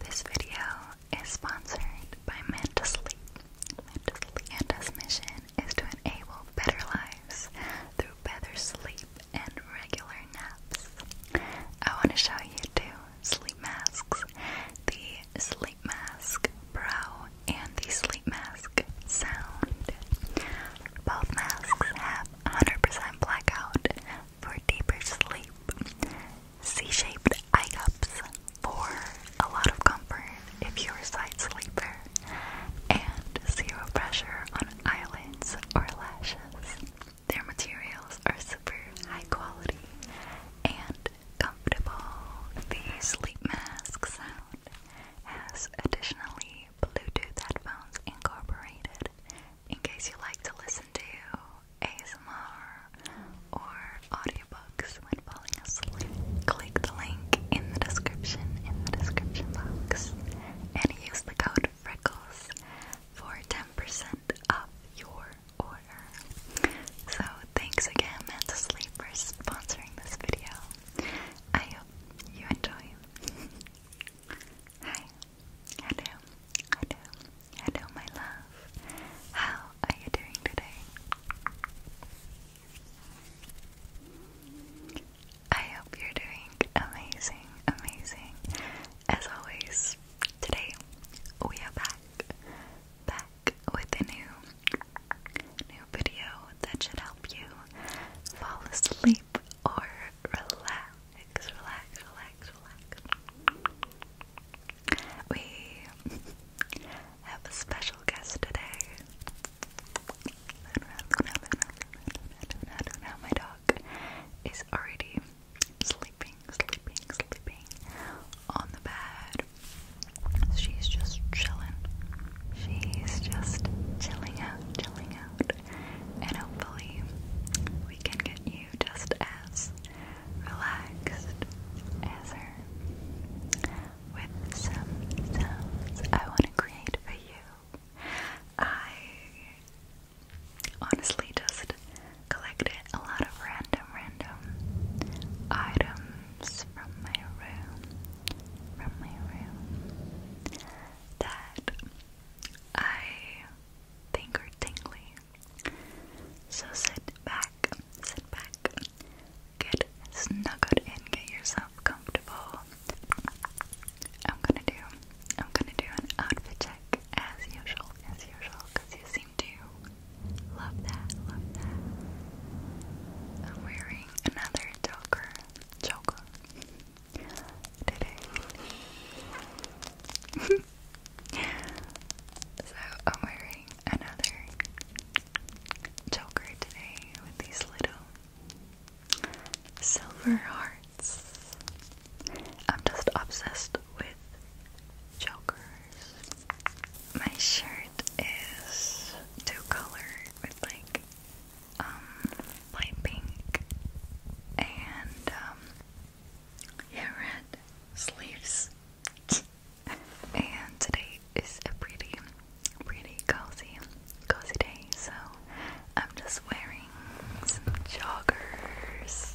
This video is sponsored by Mentally. Mentally and us mission is to enable better lives through better sleep and regular naps. I want to show you two sleep masks. The sleep mask brow and the sleep mask sound. Both masks have 100% blackout, for deeper sleep. C-shaped eye cups for a lot of comfort if you're a side sleeper. And zero pressure on eyelids or lashes. Their materials are super high quality and comfortable. These sleep masks sound has additionally Bluetooth headphones incorporated in case you like to listen to ASMR or audiobooks when falling asleep. Click the link in the description in the description box and use the code Freckles for 10% off your order. So thanks again, Mental Sleep, for sponsoring this video. I hope you enjoy. Hi. Hello. Hello. Hello, my love. How are you doing today? I hope you're doing amazing, amazing. As always, today we are back, back with a new, new video that should help you fall asleep or relax relax, relax, relax. We have a special guest today. Luna, Luna, Luna, Luna, Luna, Luna, my dog is already sleeping, sleeping, sleeping on the bed. She's just chilling. She's just chilling out, chilling out and hopefully we can get you just as relaxed as her with some sounds I want to create for you. I honestly just collected a lot of random, random items from my room, from my room that I think tingly. So sit back, sit back, get snuggled in, get yourself comfortable. I'm gonna do, I'm gonna do an outfit check as usual, as usual, because you seem to love that, love that. I'm wearing another choker, choker today. so I'm wearing another choker today with these little silver hearts. I'm just obsessed with Jokers. My shirt is two color with like um, light pink and um, yeah, red sleeves. and today is a pretty, pretty cozy, cozy day. So I'm just wearing some joggers.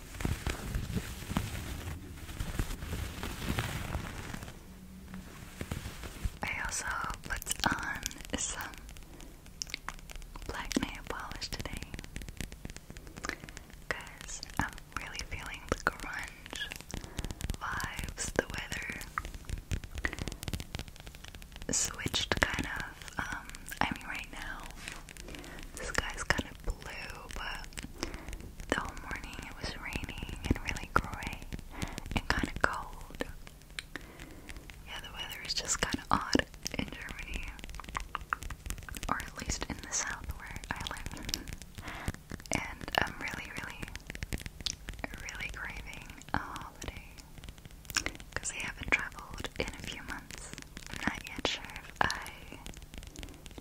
I also put on some black nail polish today because I'm really feeling the grunge vibes, the weather switched kind of. Um, I mean, right now this guy's kind of blue, but the whole morning it was raining and really gray and kind of cold. Yeah, the weather is just kind of odd in Germany, or at least in the south where I live. And I'm really, really, really craving a holiday because I haven't traveled in a few months. I'm not yet sure if I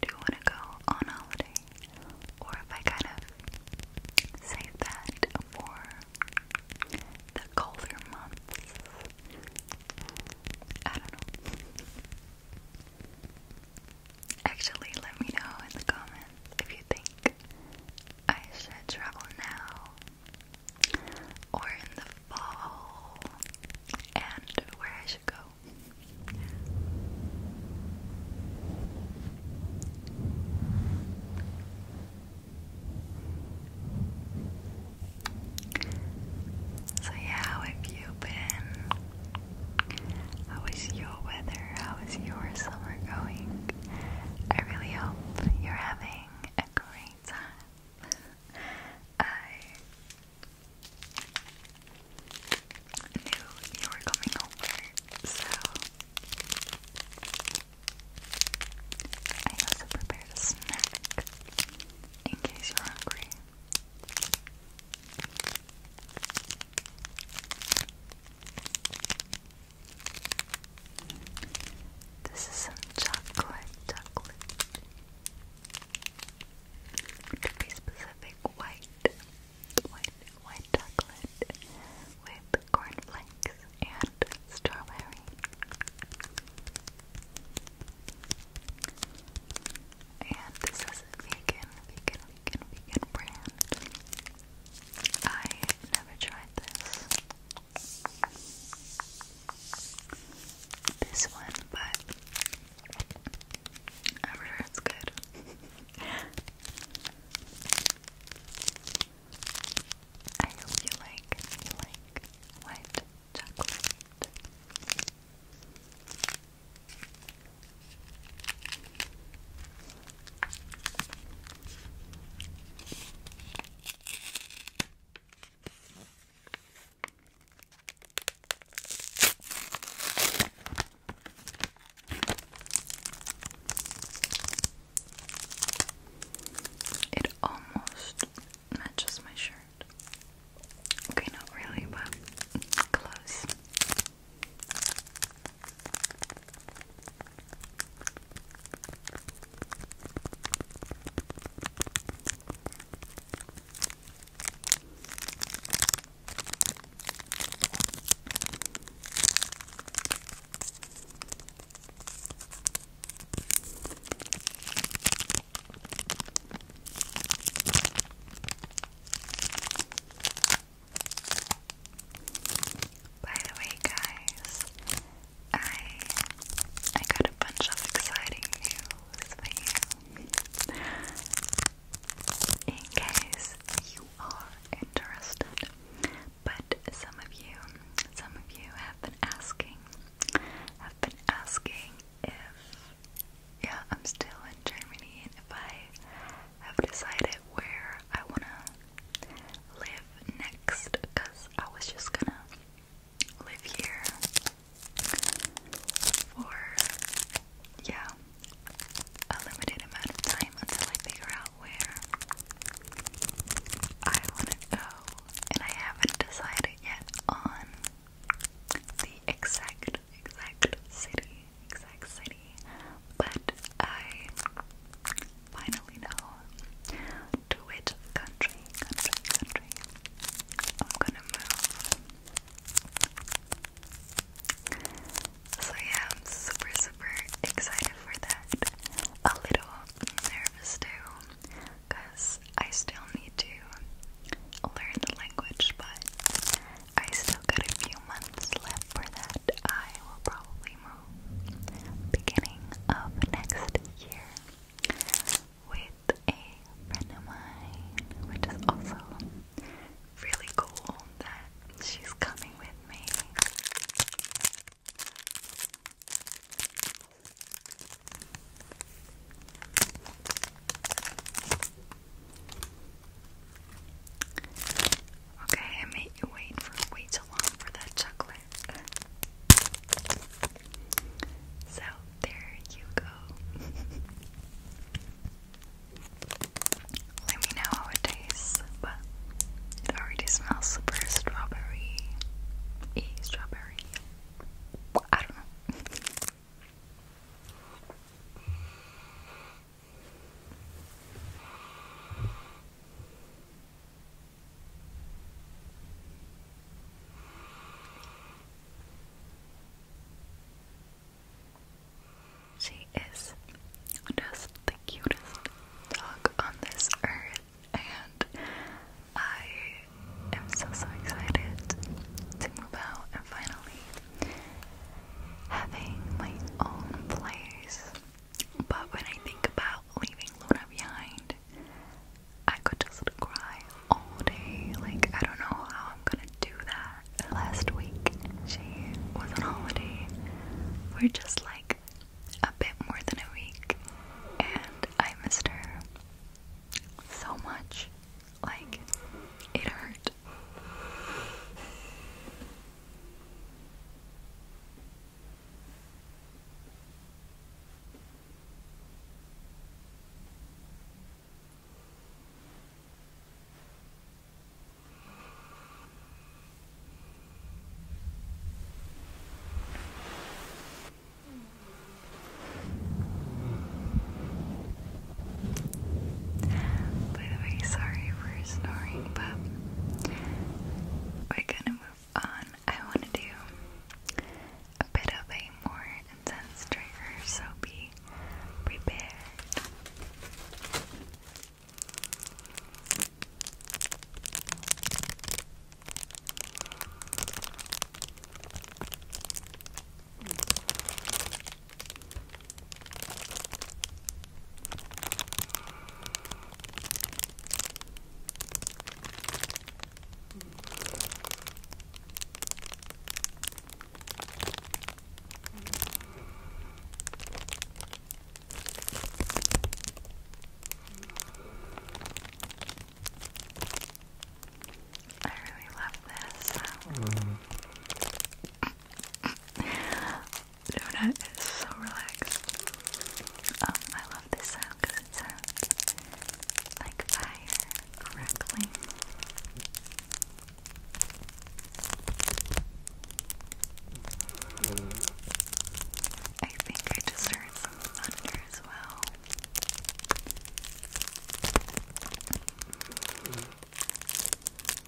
do want to go on holiday, or if I kind of save that for the colder months. I don't know. Actually, let me know in the comments if you think I should travel now or in the fall and where I should go. So, yeah, how have you been? How is your weather? How is your summer going? I really hope you're having a great time. I knew you were coming over, so I also prepared a snack in case you're hungry. This is some chocolate, chocolate, to be specific, white, white, white chocolate with cornflakes and strawberry. And this is vegan, vegan, vegan, vegan brand. I never tried this this one, but i good. I hope you like you like white chocolate. It almost matches my shirt. Okay, not really, but close. By the way, guys, I I got a bunch of exciting news for you. In case you are interested. But some of you, some of you have been asking, have been asking if yeah, I'm still in Germany and if I have decided where I wanna live next because I was just gonna live here for, yeah, a limited amount of time until I figure out where I want to go. And I haven't decided yet on the exact, exact city, exact city, but I finally know to which country, country, country I'm gonna move. So yeah, I'm super, super excited for that. A little nervous too, because I still need to learn the language, but I still got a few months left for that. I will probably move beginning of next year with a friend of mine, which is also really cool that she's coming with me. Okay, I made you wait for way too long for that chocolate time. So there you go. Let me know how it tastes, but it already smells super strawberry. E eh, strawberry. I don't know. She is just the cutest dog on this earth, and I am so so excited to move out and finally having my own place. But when I think about leaving Luna behind, I could just cry all day. Like, I don't know how I'm gonna do that. Last week, she was on holiday We're just like a bit more than a week, and I missed her so much. Like, it hurt. By the way, sorry for snoring, but we're gonna move on, I want to do a bit of a more intense trigger, so be prepared. I really love this. Mm. Luna is so relaxed. Um, I love this sound because it sounds like fire crackling. I think I just heard some thunder as well.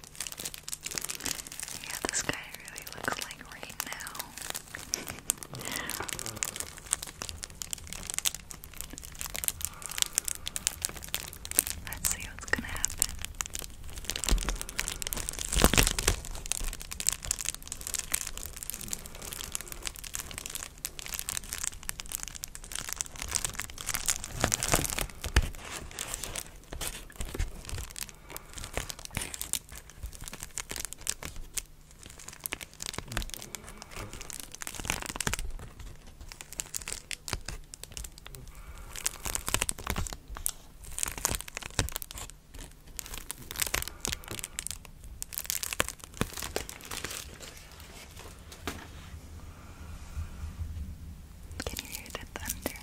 Yeah, this guy really looks like right now. Let's see what's gonna happen. Can you hear the thunder?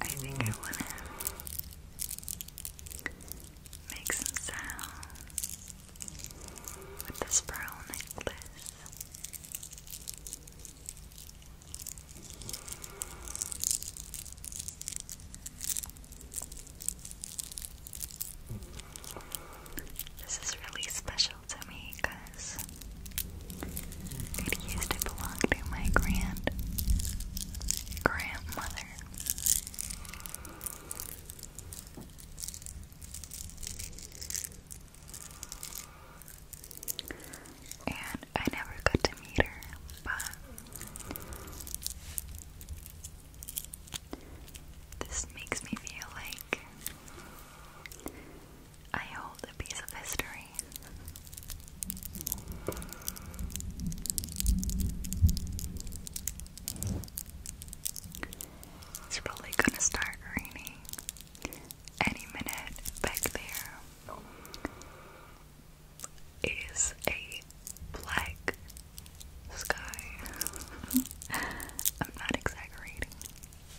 I think I want to make some sounds with this pearl necklace. This is really special to me because it used to belong to my grand grandmother. And I never got to meet her, but this makes me feel like I hold a piece of history. It's probably gonna start raining any minute back there. Is a black sky. I'm not exaggerating.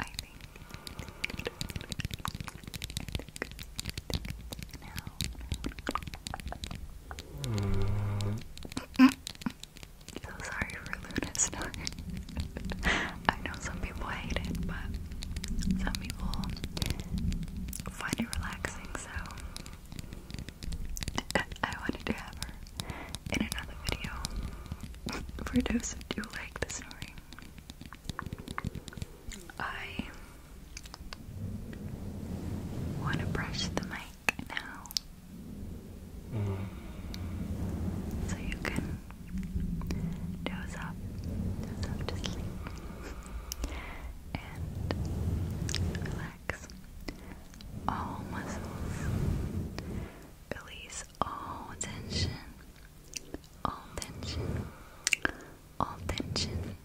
I think, so sorry for Luna's snort. I know some people hate it, but some people find it relaxing, so I wanted to have her in another video for those who do like the snoring. I want to brush the mic now so you can doze up, doze up to sleep, and relax all muscles. Release all tension, all tension, all tension,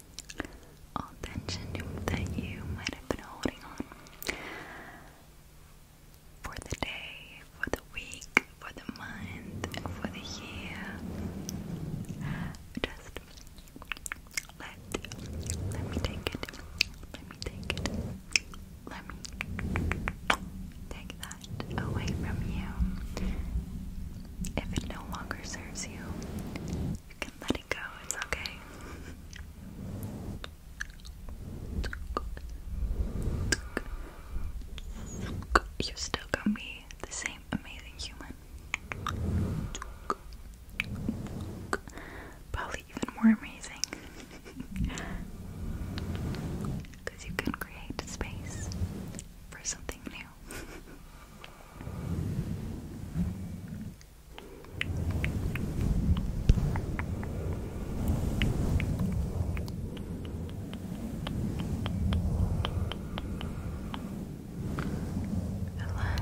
all tension that you might have been holding on for the day, for the week, for the month, for the year. Just let let me take it. Let me take it. Let me take that away from you. If it no longer serves you, you can let it go. It's okay. You're still gonna be the same amazing human. Probably even more amazing. Because you can create space for something new. Relax.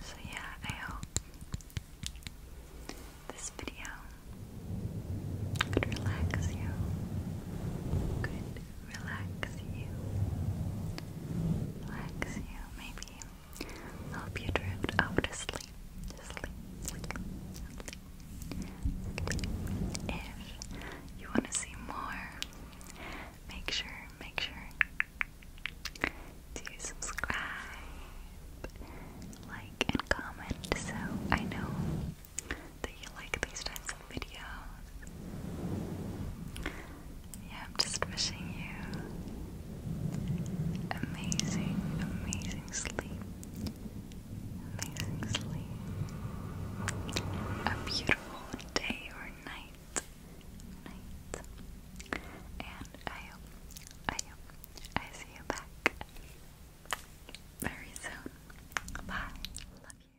So, yeah, I hope this video could relax you, could relax you, relax you, maybe help you drift off to sleep. If you want to see more, make sure, make sure to subscribe, like, and comment so I know that you like these types of videos. Yeah, I'm just missing you amazing, amazing sleep. Amazing sleep. A beautiful day or night. Night. And I I I see you back very soon. Bye. Love you.